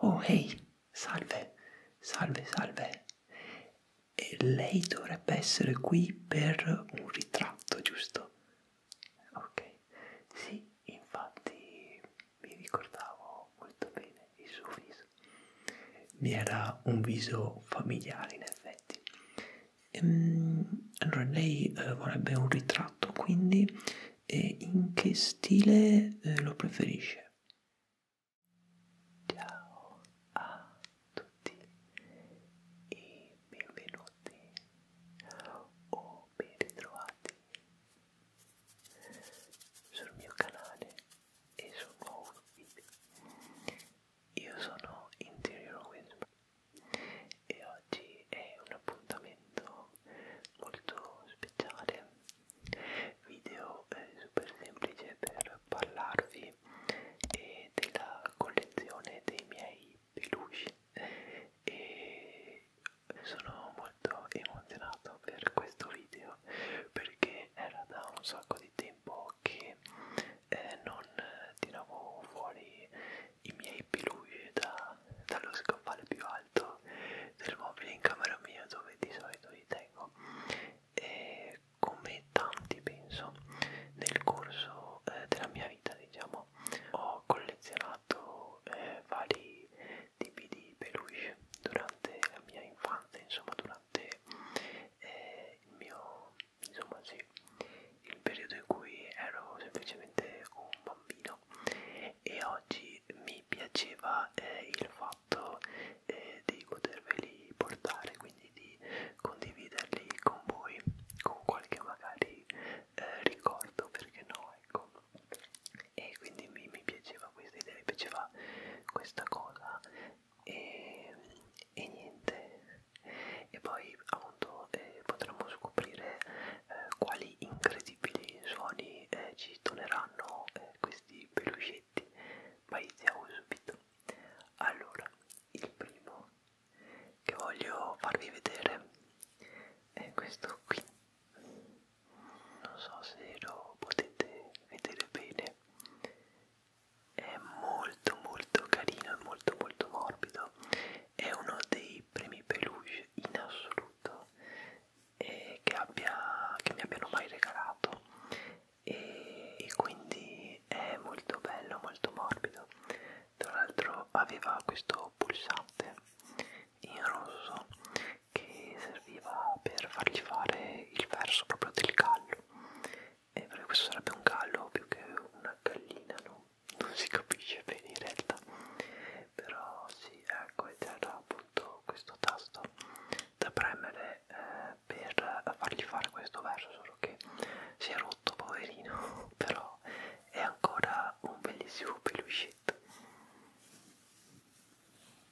Oh, ehi, hey, salve, salve, salve. E lei dovrebbe essere qui per un ritratto, giusto? Ok, sì, infatti mi ricordavo molto bene il suo viso mi era un viso familiare in effetti. Ehm, allora lei eh, vorrebbe un ritratto, quindi eh, in che stile eh, lo preferisce? Ciao a tutti e benvenuti o ben ritrovati sul mio canale e sul nuovo video. Io sono Interior Wisp e oggi è un appuntamento molto speciale, video eh, super semplice per parlarvi eh, della collezione dei miei peluche e sono molto emozionato per questo video perché era da un sacco di tempo che eh, non tiravo fuori i miei pilugli da, dallo scaffale più alto del mobile in camera mia dove di solito li tengo e come tanti penso nel corso eh, della mia vita diciamo ho collezionato eh, vari di P.D. Peluche durante la mia infanzia, insomma durante eh, il mio, insomma sì, il periodo in cui ero semplicemente un bambino e oggi mi piaceva eh, il fatto eh, di poterveli portare, quindi di condividerli con voi, con qualche magari eh, ricordo, perché no, ecco e quindi mi, mi piaceva questa idea, mi piaceva questa cosa e, e niente e poi appunto eh, potremo scoprire eh, quali incredibili suoni eh, ci torneranno eh, questi pelucetti ma iniziamo subito allora il primo che voglio farvi vedere è questo qui non so se lo potete vedere bene è molto molto carino è molto molto morbido è uno dei primi peluche in assoluto eh, che, abbia, che mi abbiano mai regalato e, e quindi è molto bello molto morbido tra l'altro aveva questo pulsante in rosso che serviva per fargli fare il verso proprio del gallo e perché questo sarebbe un gallo più che una gallina no? non si capisce bene in realtà però sì ecco ed era appunto questo tasto da premere eh, per fargli fare questo verso solo che si è rotto poverino però è ancora un bellissimo pelucetto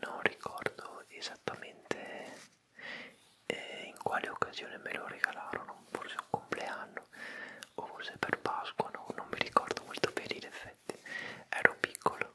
non ricordo esattamente eh, in quale occasione me lo regalarono forse un compleanno o forse per Pasqua no? non mi ricordo molto bene in effetti ero piccolo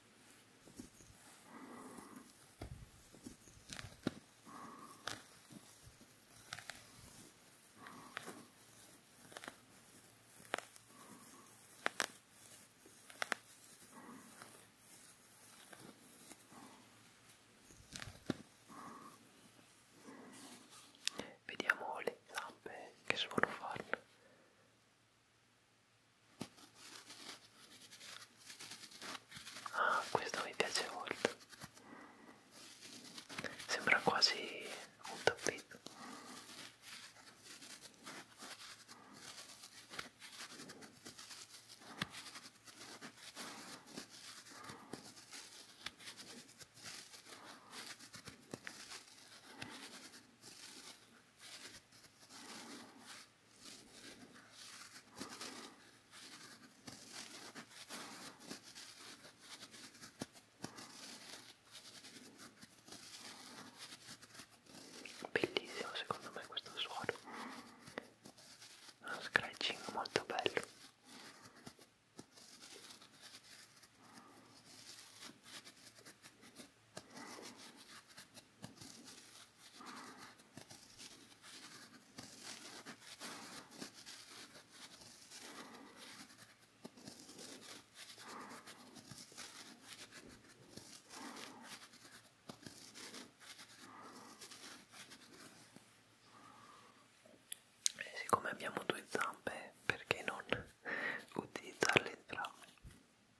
Vediamo le zampe che sono farne Ah, questo mi piace molto. Sembra quasi un tappeto. Bellissimo secondo me questo suono, uno scratching molto bello. E eh, siccome abbiamo due zampe, perché non utilizzarle entrambe?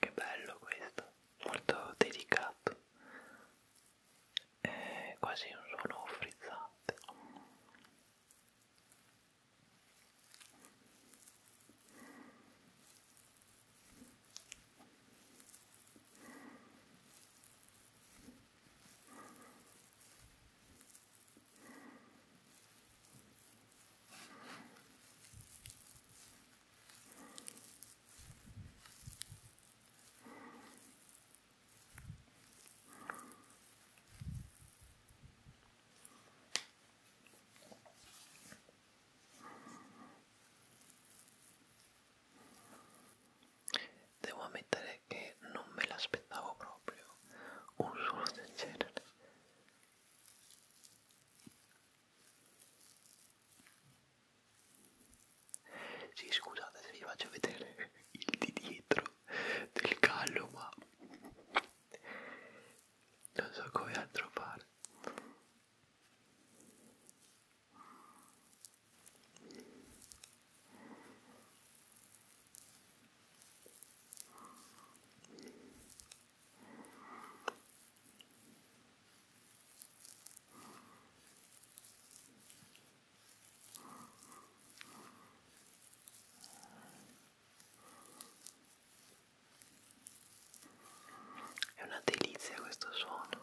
Che bello questo molto delicato è eh, quasi un suono frizzante Devo ammettere que no me l'aspettavo proprio un solo del genere. Sì, scusate se vi faccio vedere il di dietro del gallo, ma non so come altro fare. È una delizia questo suono.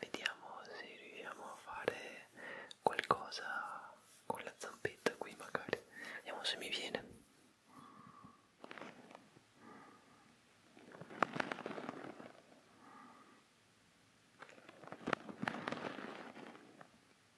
Vediamo se riusciamo a fare qualcosa con la zampetta qui magari. Vediamo se mi viene.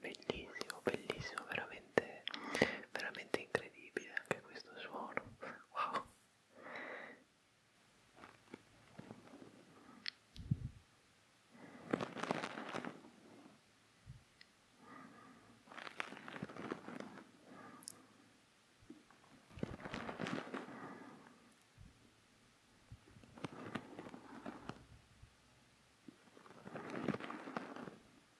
Bellissimo, bellissimo, veramente, veramente incredibile incredibile anche questo suono wow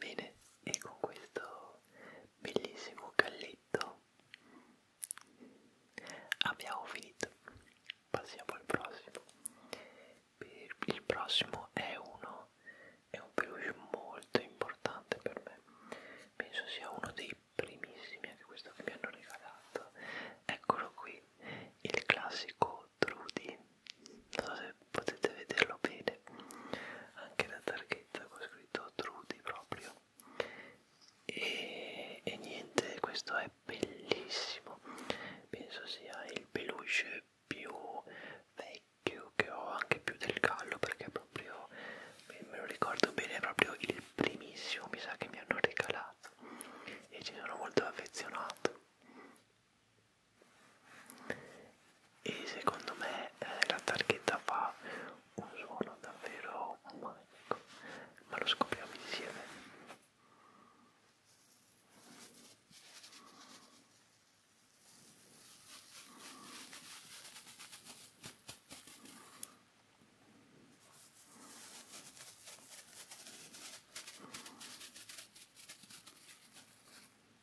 Bene, e con questo bellissimo galletto abbiamo finito. Passiamo al prossimo. Il prossimo è uno, è un peluche molto importante per me. Penso sia uno dei primissimi, anche questo che mi hanno regalato. Eccolo qui, il classico Trudy. Non so se potete vederlo bene, anche la targhetta così credo Trudy proprio e, e niente questo è bellissimo penso sia il peluche più vecchio che ho anche più del gallo perché proprio me lo ricordo bene è proprio il primissimo mi sa che mi hanno regalato e ci sono molto affezionato e secondo me eh, la targhetta fa un suono davvero magico ma lo scopriamo insieme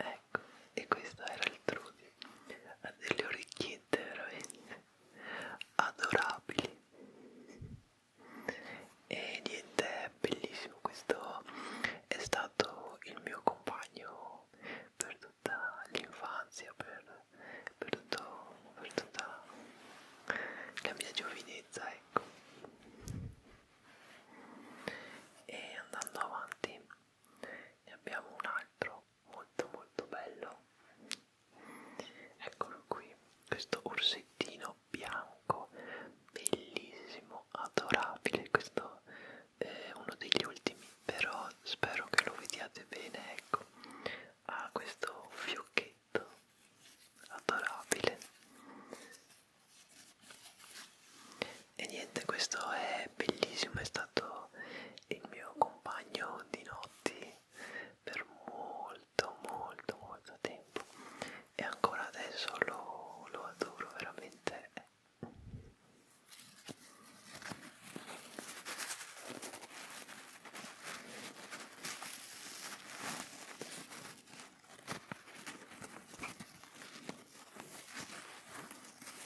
Ecco, e questo era il Trudy. Ha delle orecchiette veramente adorabili e niente è bellissimo questo è stato il mio compagno per tutta l'infanzia per, per, tutto, per tutta la mia giovinezza ecco e andando avanti ne abbiamo un altro molto molto bello eccolo qui questo orsettino bianco bellissimo adorabile questo è uno degli ultimi però spero che lo vediate bene ecco ha questo fiocchetto adorabile e niente questo è è bellissimo, è stato il mio compagno di notti per molto molto molto tempo e ancora adesso lo, lo adoro veramente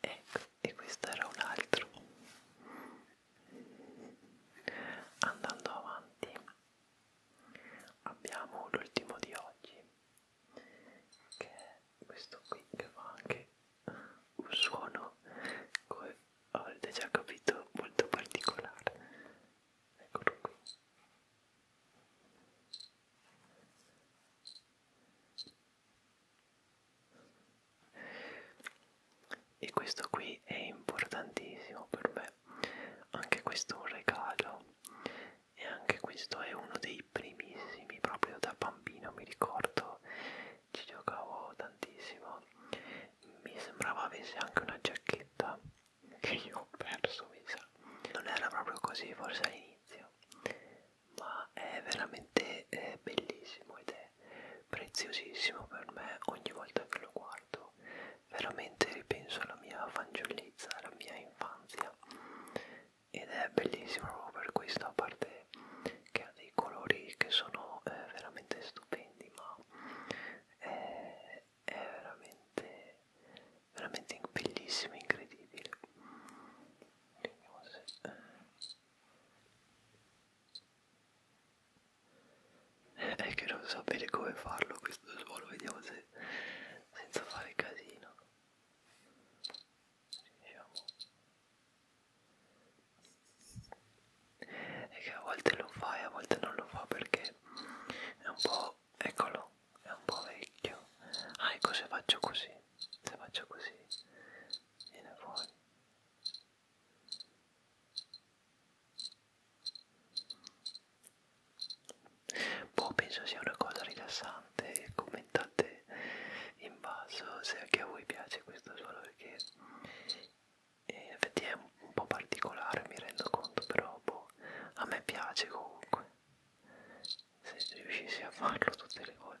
ecco e questo era un altro andando avanti abbiamo l'ultimo di oggi che è questo qui che fa anche un suono come avete già capito molto particolare eccolo qui e questo qui è importantissimo per me anche questo è un regalo e anche questo è uno dei primissimi proprio da bambino mi ricordo ci giocavo tantissimo mi sembrava avesse anche una giacchetta che io ho perso mi sa non era proprio così forse all'inizio ma è veramente eh, bellissimo ed è preziosissimo per me ogni volta che lo guardo veramente ripenso alla mia fanciullezza alla mia infanzia ed è bellissimo proprio per questo a parte che ha dei colori che sono eh, veramente stupendi ma è, è veramente veramente bellissimo incredibile vediamo se eh, è che non so bene come farlo questo suolo vediamo se senza fare casino riusciamo è che a volte lo fa e a volte non lo fa perché è un po' eccolo è un po' vecchio ah ecco se faccio così se faccio così viene fuori boh penso sia una cosa rilassante commentate in basso se anche a voi piace questo suono perché eh, in effetti è un po' particolare mi rendo conto però boh a me piace comunque se riuscissi a farlo tutte le volte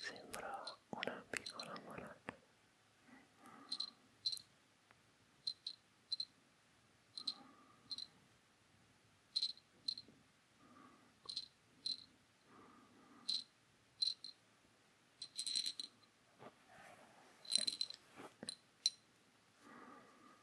Sembra una piccola moneta.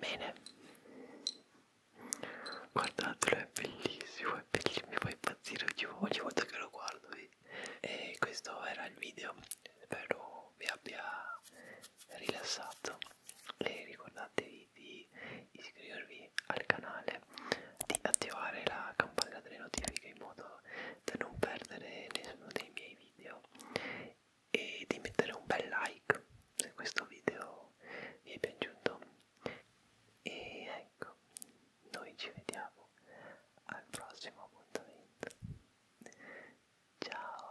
Bene, guardatelo, è bellissimo, è bellissimo, mi fa impazzire ogni volta che lo guardo. E questo era il video, spero vi abbia rilassato e ricordatevi di iscrivervi al canale, di attivare la campanella delle notifiche in modo da non perdere nessuno dei miei video e di mettere un bel like se questo video vi è piaciuto e ecco noi ci vediamo al prossimo appuntamento ciao